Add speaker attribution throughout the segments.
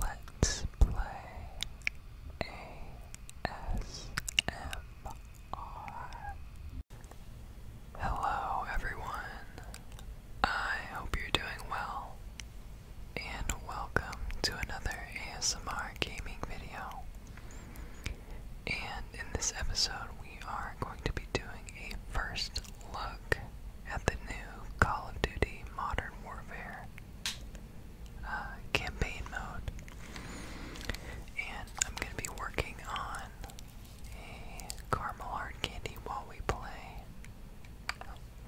Speaker 1: Let's play ASMR. Hello, everyone. I hope you're doing well, and welcome to another ASMR gaming video. And in this episode, we are going to be doing a first look at the new Call of Duty Modern Warfare uh, campaign mode. And I'm going to be working on a caramel hard candy while we play.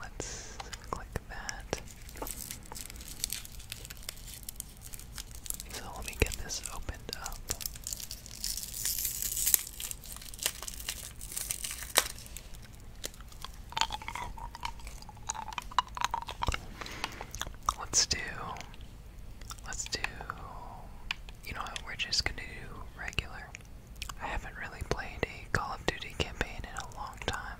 Speaker 1: Let's click that. So let me get this opened up. Let's do. Let's do. You know what? We're just gonna do regular. I haven't really played a Call of Duty campaign in a long time.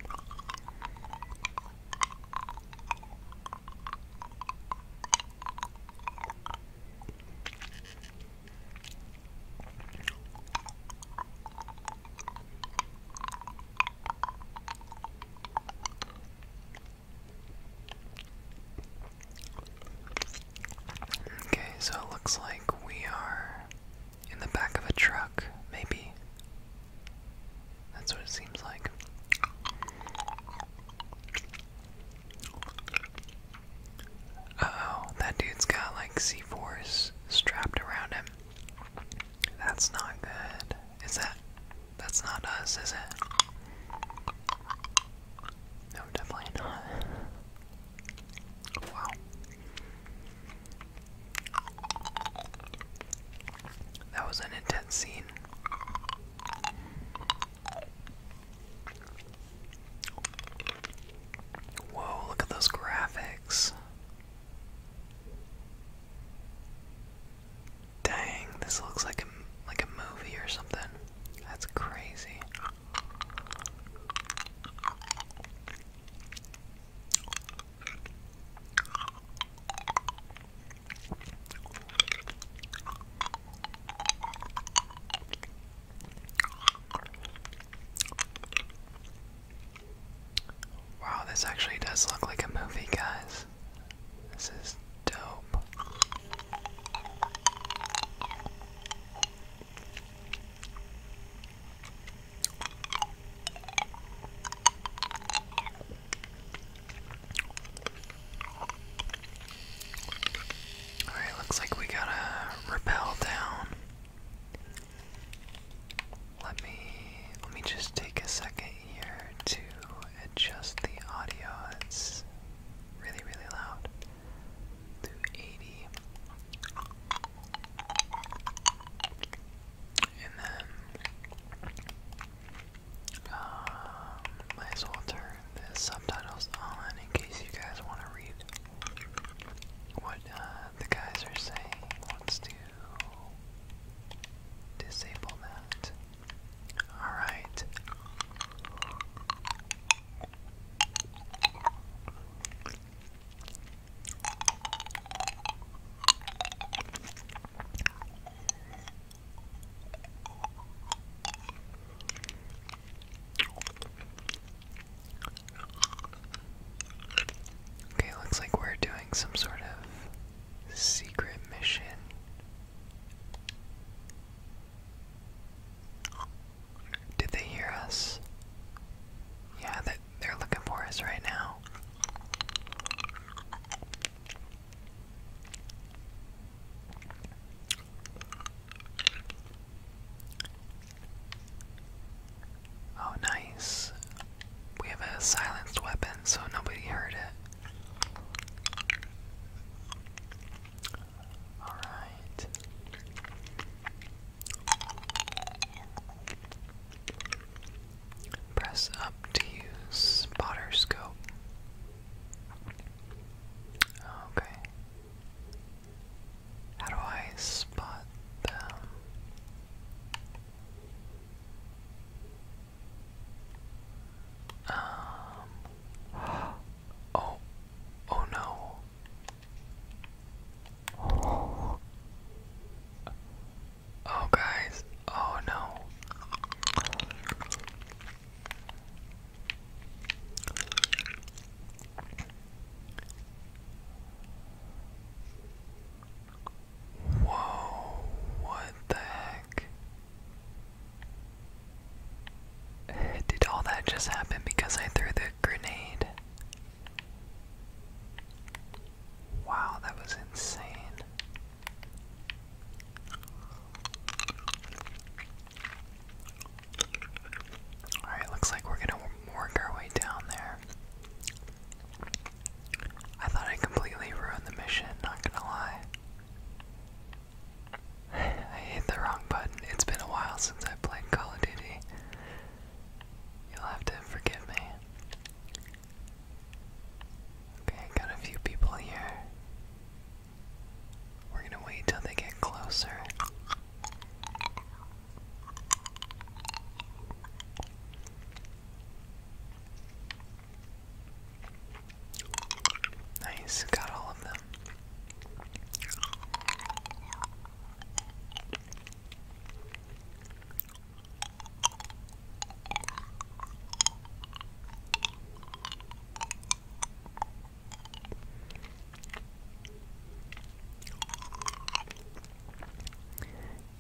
Speaker 1: Okay, so it looks like we are in the back of a truck, maybe. That's what it seems like oh, that dude's got like c Force strapped around him. That's not good. Is that. That's not us, is it? No, definitely not. Wow. That was an intense scene. Whoa, look at those graphics. Dang, this looks like a, like a movie or something. That's crazy. Wow, this actually does look like a movie, guys. This is dope. Alright, looks like we gotta rappel down. Let me let me just take a second here to adjust the audio. It's really, really loud. To 80. And then um, might as well turn the subtitles on in case you guys want to read what uh, the guys are saying wants to disable that. Alright. Okay, looks like we're doing some sort of secret mission. Did they hear us? Yeah, that they're looking for us right now. Oh, nice. We have a silenced weapon, so nobody heard it. Alright. Press up to use spotter scope. Okay. How do I spot them? Um. Oh. Oh no. Oh. guys. Oh no. Whoa, what the heck? Did all that just happen because I threw the grenade? Wow, that was insane. Alright, looks like we're gonna work our way down there. I thought I completely ruined the mission, not gonna lie. I hit the wrong button. It's been a while since I played Call of Duty. You'll have to forgive me. Okay, got a few people here. We're gonna wait till they get closer. Nice, got all of them.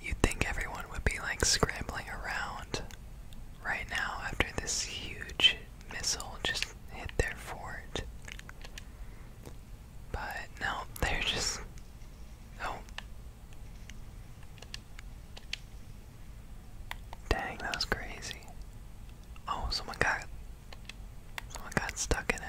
Speaker 1: You'd think everyone would be like scrambling around right now after this huge missile just hit their fort. But no, they're just. Oh. Dang, that was crazy. Oh, someone got someone got stuck in it.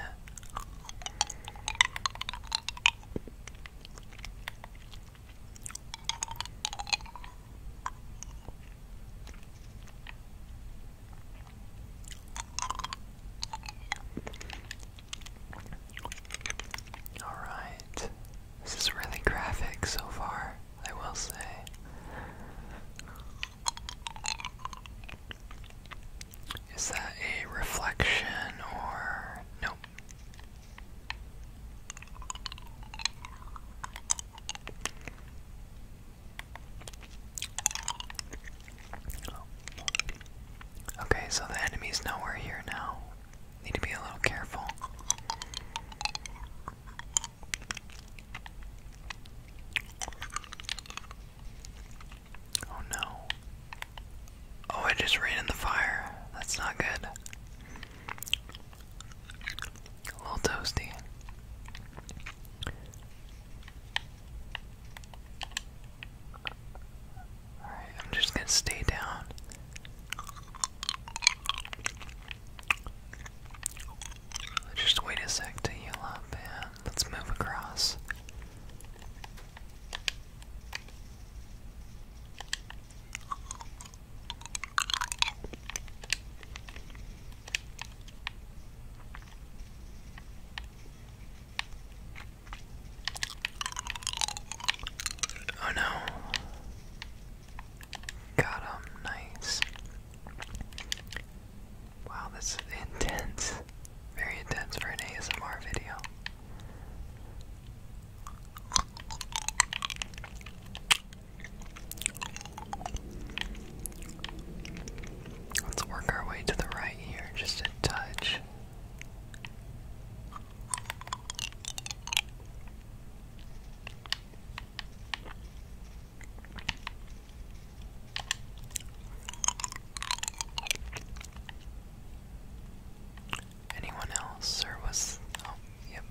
Speaker 1: All right. This is really graphic so far. I will say. Is that a reflection or nope? Okay, so the enemy's nowhere here now. Need to be a little careful. Oh no. Oh, I just ran in the fire. That's not good. A little toasty. Alright, I'm just gonna stay down. Just wait a sec to heal up and let's move across. Oh no. Got nice. Wow, this intense. Very intense for an ASMR video. Let's work our way to the right here, just a touch. Anyone else, or was oh yep.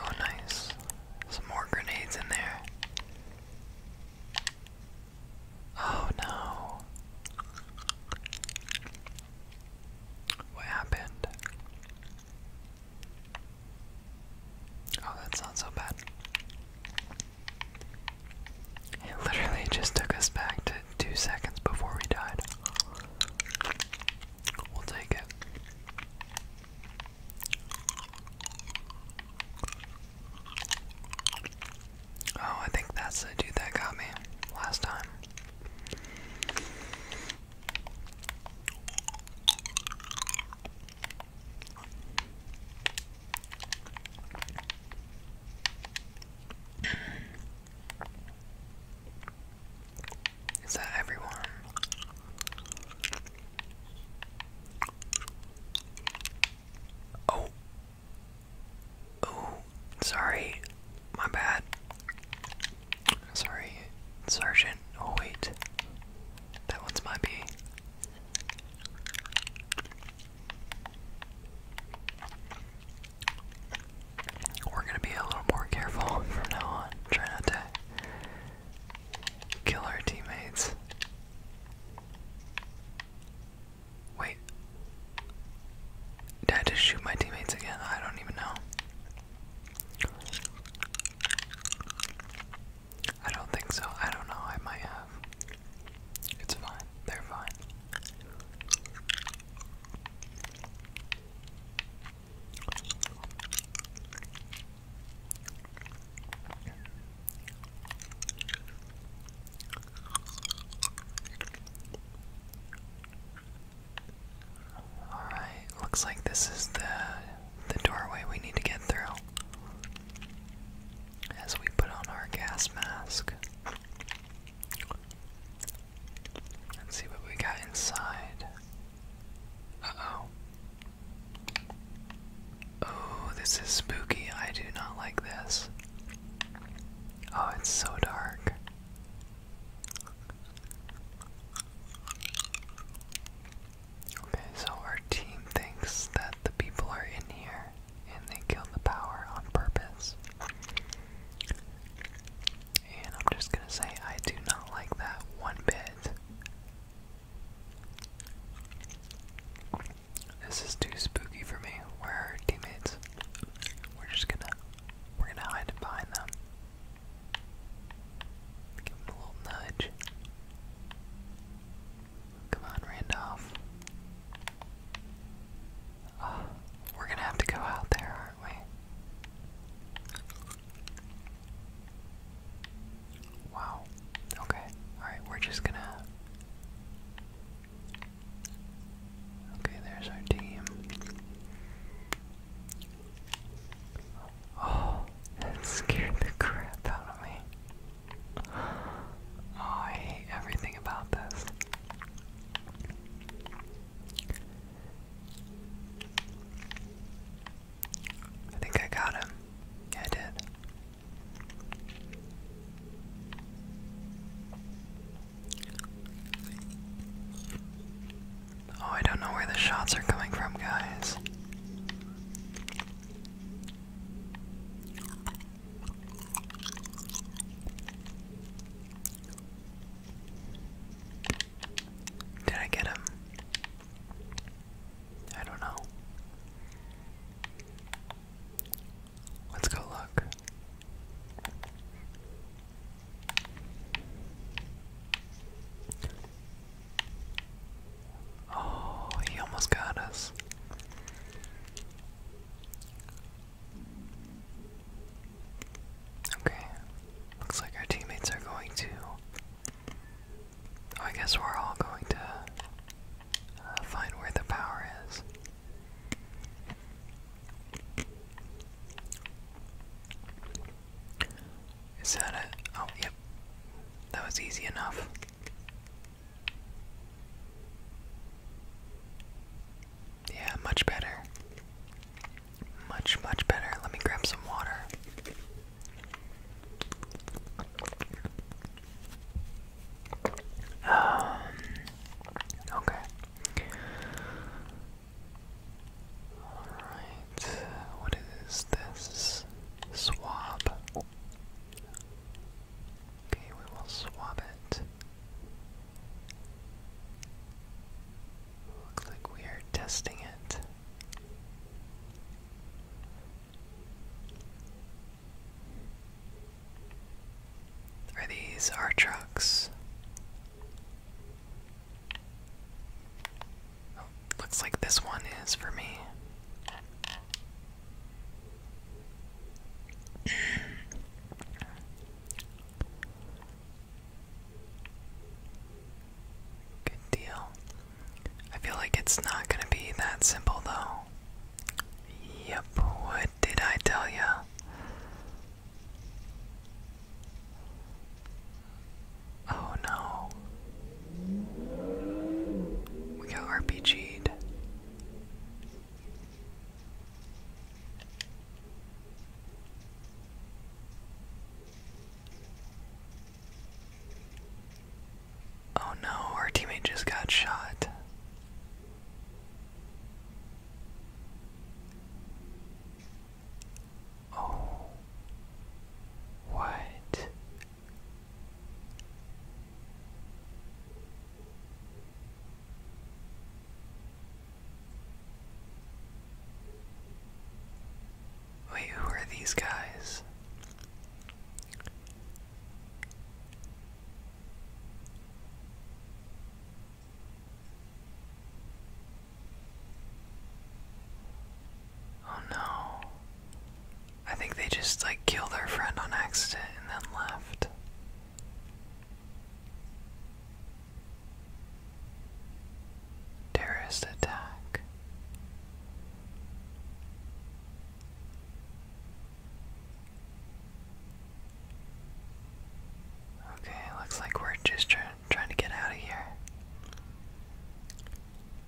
Speaker 1: Oh, nice. Some more grenades in there. Oh no. What happened? Oh, that's not so bad. It literally just took us back to two seconds before we died. We'll take it. Oh, I think that's the dude that got me last time. Is that everyone? Oh. Oh, sorry. My bad. Sorry, Sergeant. Oh, wait. That one's my B. We're gonna be a little more careful from now on. Try not to kill our teammates. Wait. Did I just shoot my teammates again? I don't even know. I don't think so. I don't know. I might have. It's fine. They're fine. All right, looks like this is the the doorway we need to get through as we put on our gas mask. Let's see what we got inside. Uh oh. Oh, this is spooky. I do not like this. Oh, it's so dark. Okay, so our team thinks that the people are in here and they killed the power on purpose. And I'm just gonna say, I do not like that one bit. This is too spooky for me. Where are teammates? We're just gonna, we're gonna hide behind them. Give them a little nudge. Come on, Randolph. Ah, we're gonna have to go out there, aren't we? Wow. Okay. Alright, we're just gonna. Okay, there's our team. Oh, that scared the crap out of me. Oh, I hate everything about this. I think I got him. Yeah, I did. Oh, I don't know where the shots are coming from, guys. Did I get him? I don't know. Let's go look. Oh, he almost got us. Okay. Looks like our teammates are going to. Oh, I guess we're all going to uh, find where the power is. Is that it? Oh, yep. That was easy enough. Yeah, much better. Much, much better. Let me grab some water. Um, okay. Alright, what is this? Swab. Okay, we will swap it. Looks like testing it. Are these our trucks? Looks like this one is for me. Good deal. I feel like it's not gonna be that simple though. Yep, what did I tell ya? Oh no. We got RPG'd. Oh no, our teammate just got shot. Oh. What? Wait, who are these guys? Oh no. I think they just like killed their friend on accident and then left. Terrorist attack. Okay, looks like we're just try trying to get out of here.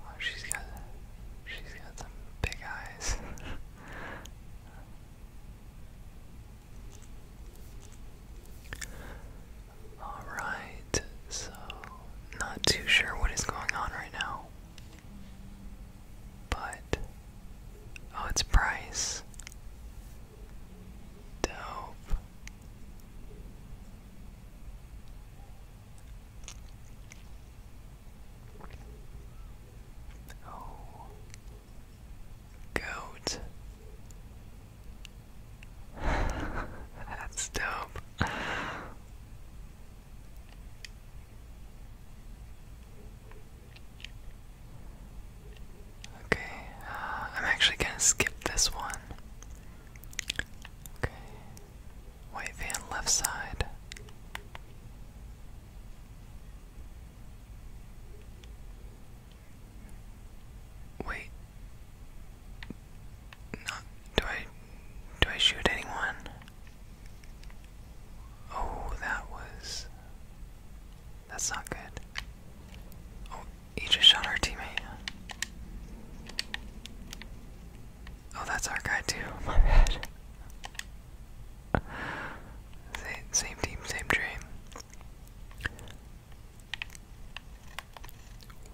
Speaker 1: Oh, she's got she's got some big eyes. Alright, so not too sure what is going on right now. But oh, it's Bryce. Dope. Oh, goat. That's dope. Okay, uh, I'm actually gonna skip this one. Okay, white van left side. Wait, not do I do I shoot anyone? Oh, that was. That's not good. Oh, he just shot our teammate. Oh, that's our guy, too. My bad. Same, team, same dream.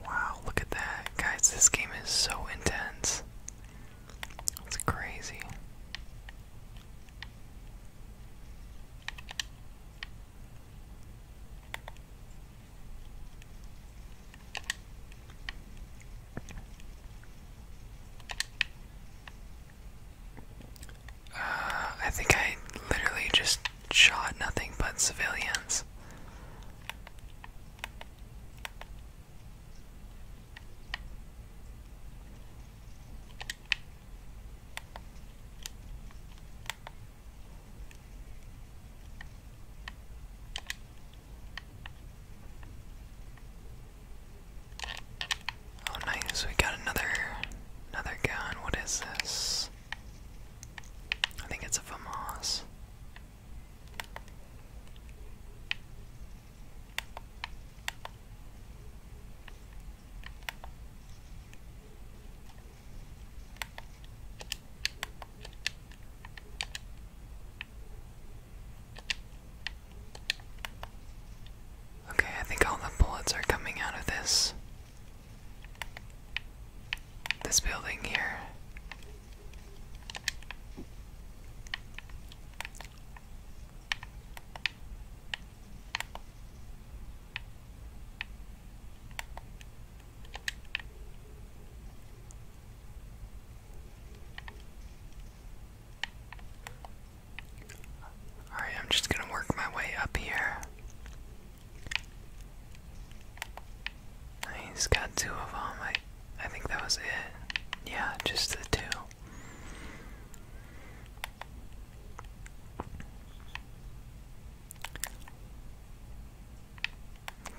Speaker 1: Wow, look at that. Guys, this game is so intense. It's crazy. Uh, I think I literally just shot nothing but civilians. Oh nice, we got another another gun. What is this? I think it's a FAMAS. Okay, I think all the bullets are coming out of this this building here. Alright, I'm just going to work my way up here. He's got two of them. I, I think that was it. Yeah, just the two.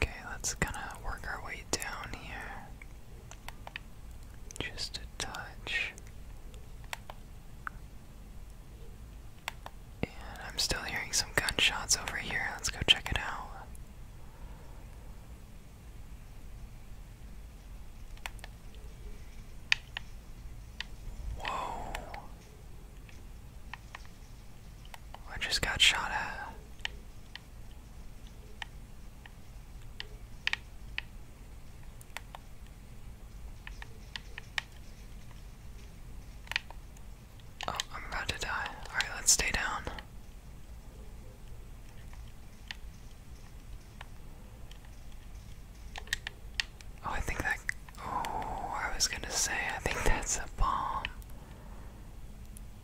Speaker 1: Okay, let's kind of work our way down here. Just a touch. And I'm still hearing some gunshots over here. Let's go check it out. Whoa. I just got shot at. Oh, I'm about to die. Alright, let's stay down. Oh, I think that. Oh, I was gonna say, I think that's a bomb.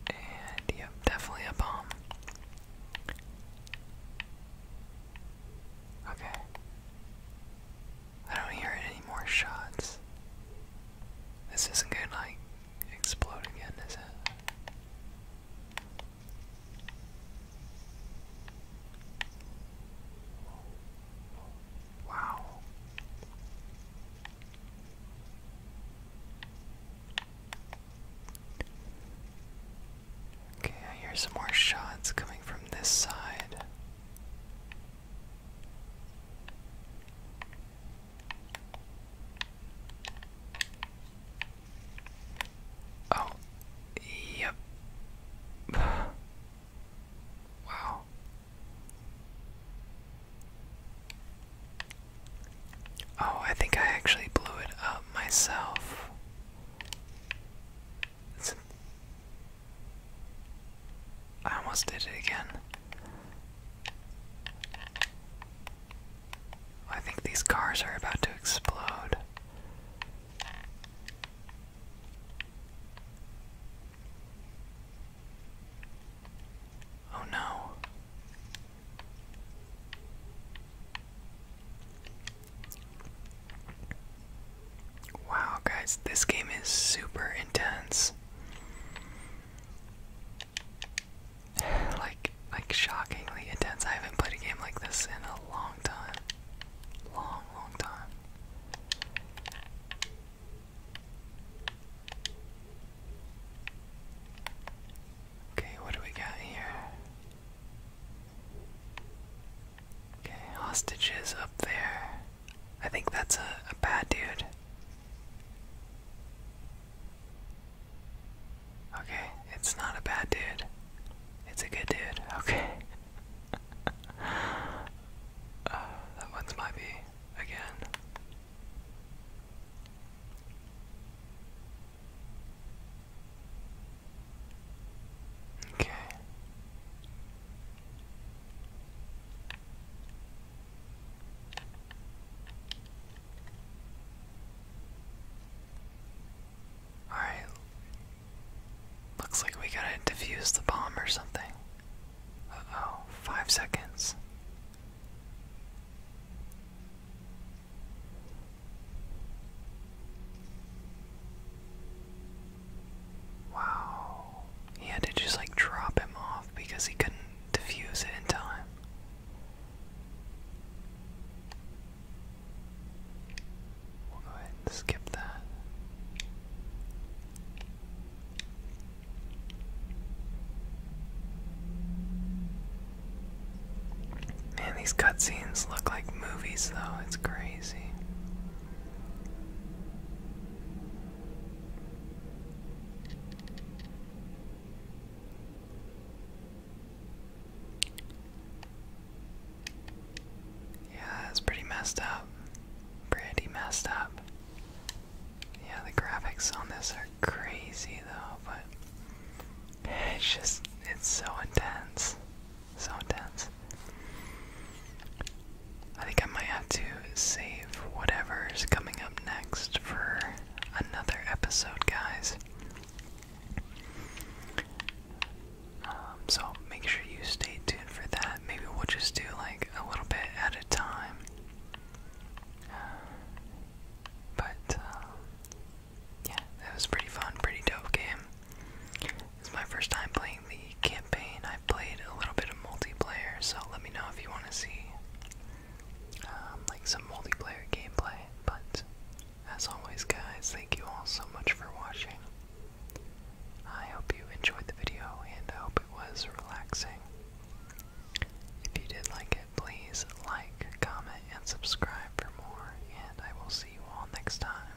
Speaker 1: And, yep, definitely a bomb. Okay. I don't hear any more shots. This isn't good, like, explode again, is it? Wow. Okay, I hear some more shots coming from this side. Oh, yep. wow. Oh, I think I actually blew it up myself. I almost did it again. I think these cars are about to explode. Oh no. Wow, guys, this game is super intense. like like shockingly intense. I haven't played a game like this in a long time. Long, long time. Okay, what do we got here? Okay, hostages up there. I think that's a, bad dude. Okay, it's not a bad dude. It's a good dude. Okay. Uh, that one's might be again. Okay. Alright. Looks like we gotta defuse the bomb or something. oh, five seconds. Wow. He had to just like drop him off because he couldn't defuse it in time. We'll go ahead and skip that. Man, these cutscenes look like movies, though. It's crazy. Yeah, it's pretty messed up. Pretty messed up. Yeah, the graphics on this are crazy though, but it's just, it's so intense. So intense. I think I might have to save whatever's coming up next for another episode, guys. Um, so make sure you stay tuned for that. Maybe we'll just do like a little bit at a time. But uh, yeah, it was pretty fun, pretty dope game. It's my first time playing the campaign. I played a little bit of multiplayer, so let me know if you want to see um, like some multiplayer gameplay. But as always, guys, thank you all so much for watching. I hope you enjoyed the video and I hope it was relaxing. If you did like it, please like, comment, and subscribe for more, and I will see you all next time.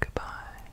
Speaker 1: Goodbye.